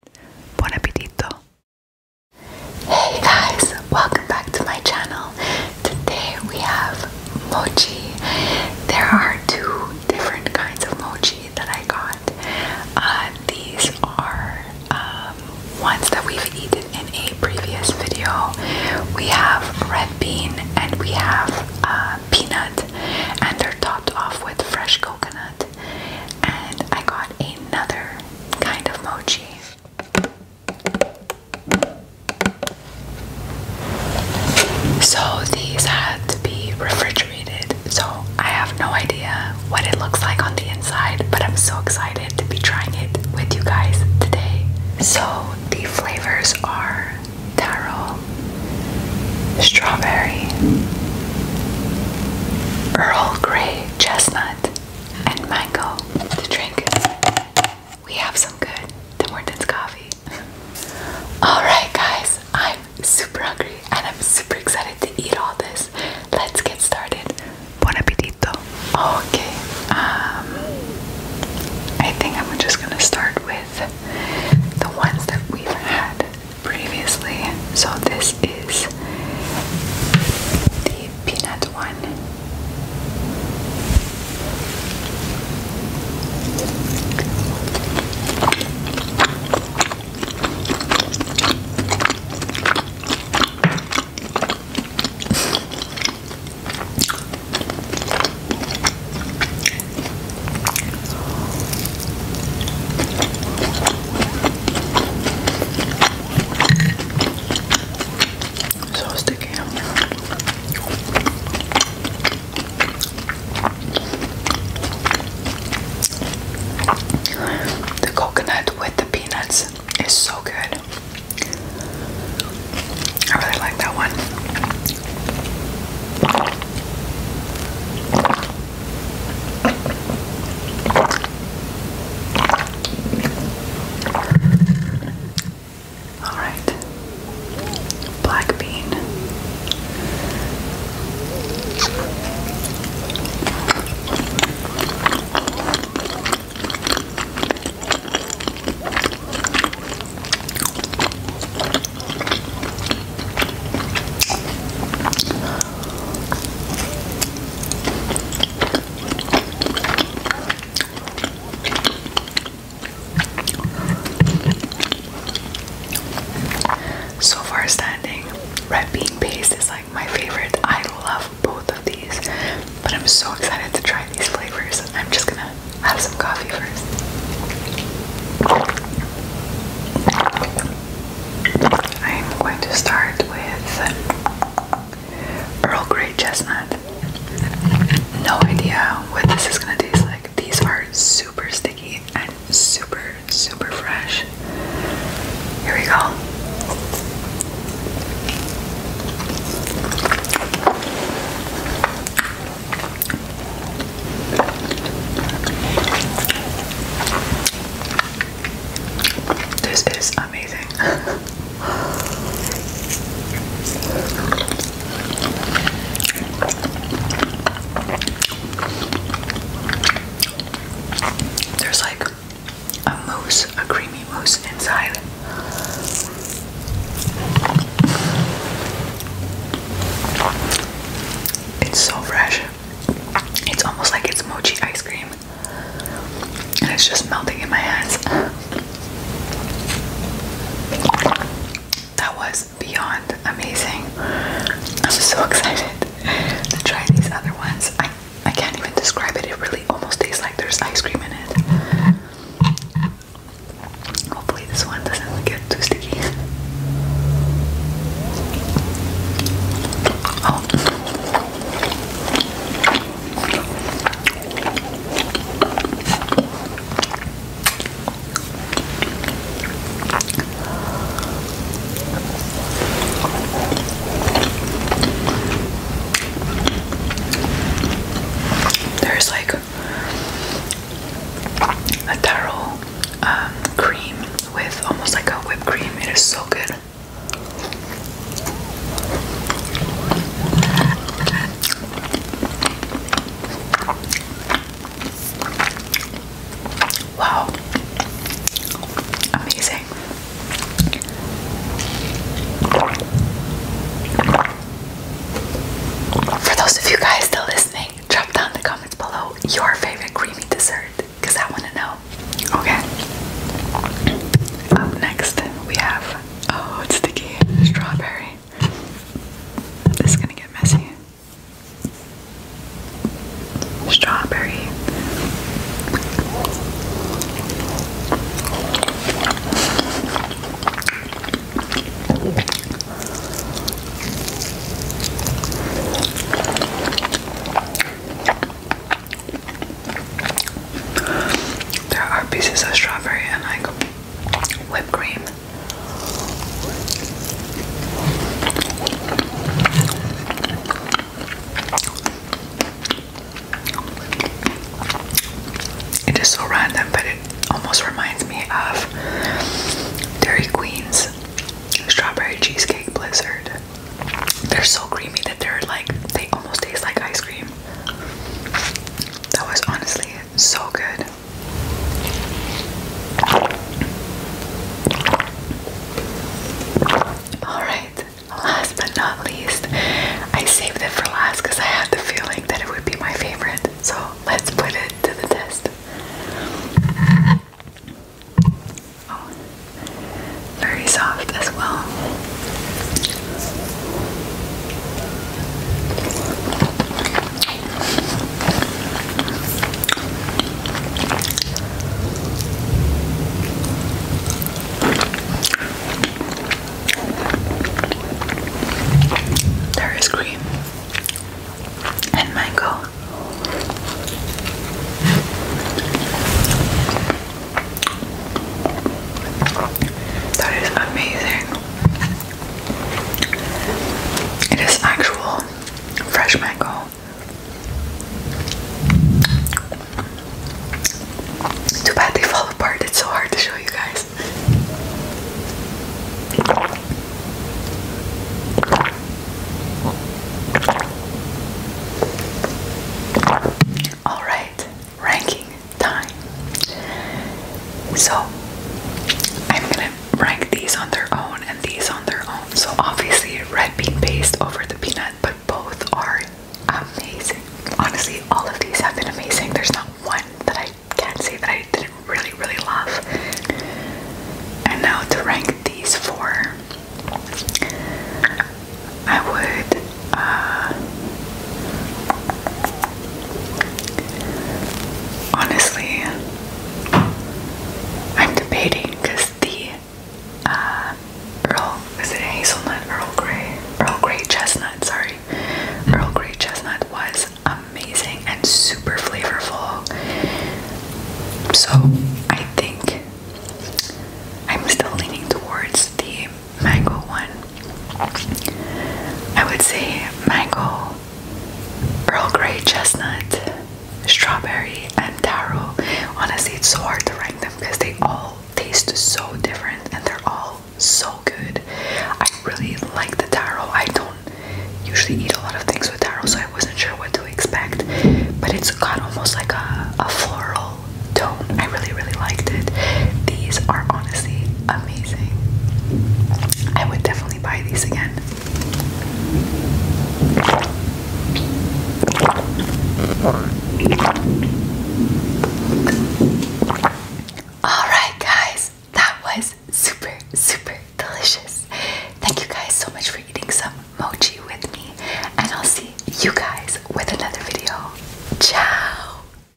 Hey guys, welcome back to my channel. Today we have mochi. There are two different kinds of mochi that I got. Uh, these are um, ones that we've eaten in a previous video. We have red bean and we have uh, peanut, and they're topped off with fresh coconut. And I got another kind of mochi. So these had to be refrigerated. So I have no idea what it looks like on the inside, but I'm so excited to be trying it with you guys today. So the flavors are taro, strawberry, Earl Grey chestnut, and mango to drink. We have some good Tim Hortons coffee. Alright, guys, I'm super hungry and I'm super excited to eat all this. Let's get started. Buon appetito. Okay, um, I think I'm just gonna start with the ones that we've had previously. So this is the peanut one. So The coconut with the peanuts is so good. I really like that one. All right, black bean. So far standing, red bean paste is like my favorite. I love both of these, but I'm so excited to try these flavors. I'm just gonna have some coffee first. I'm going to start with Earl Grey Chestnut. No idea what this is going to taste like. These are super sticky and super, super fresh. Here we go. This is amazing. There's like a mousse, a creamy mousse inside. It's so fresh. It's almost like it's mochi ice cream. And it's just melting in my hands. That was beyond amazing. I'm so excited to try these other ones. I can't even describe it. It really almost tastes like there's ice cream in it. Hopefully, this one doesn't get too sticky. Oh. There's like a taro um, cream with almost like a whipped cream. It is so good. Wow. Amazing. For those of you guys still listening, drop down the comments below your favorite creamy dessert because I want to know. Okay. Up next, we have oh, it's sticky strawberry. This is gonna get messy strawberry. There are pieces of strawberry and like whipped cream. It is so random, but it almost reminds me of Dairy Queen's strawberry cheesecake blizzard. They're so creamy that they're like, they almost taste like ice cream. That was honestly so good. Alright, last but not least, I saved it for last because I had the feeling that it would be my favorite. So let's put it to the test. Oh, very soft as well. There is cream and mango. That is amazing. It is actual fresh mango. Too bad they fall apart, it's so hard to show you guys. Alright, ranking time. So, I'm gonna rank these on their own and these on their own. So obviously red bean paste over the peanut, but both are amazing. Honestly, all of these have been amazing. There's not one that I can't say that I didn't really, really love. And now to rank these four, I would uh, Honestly, I'm debating because the uh, Earl, is it hazelnut? Earl Grey? Earl Grey chestnut, sorry. Earl Grey chestnut was amazing and super flavorful. So I think I'm still leaning towards the mango one. I would say mango Earl Grey chestnut, strawberry, and taro. Honestly, it's so hard to rank them because they all taste so different and they're all so good. I really like the taro. I don't usually eat a lot of things with taro, so I wasn't sure what to expect. But it's got almost like a, a floral tone. I really, really liked it. These are honestly amazing. I would definitely buy these again. Alright, guys, that was super, super delicious. Thank you guys so much for eating some mochi with me, and I'll see you guys with another video. Ciao!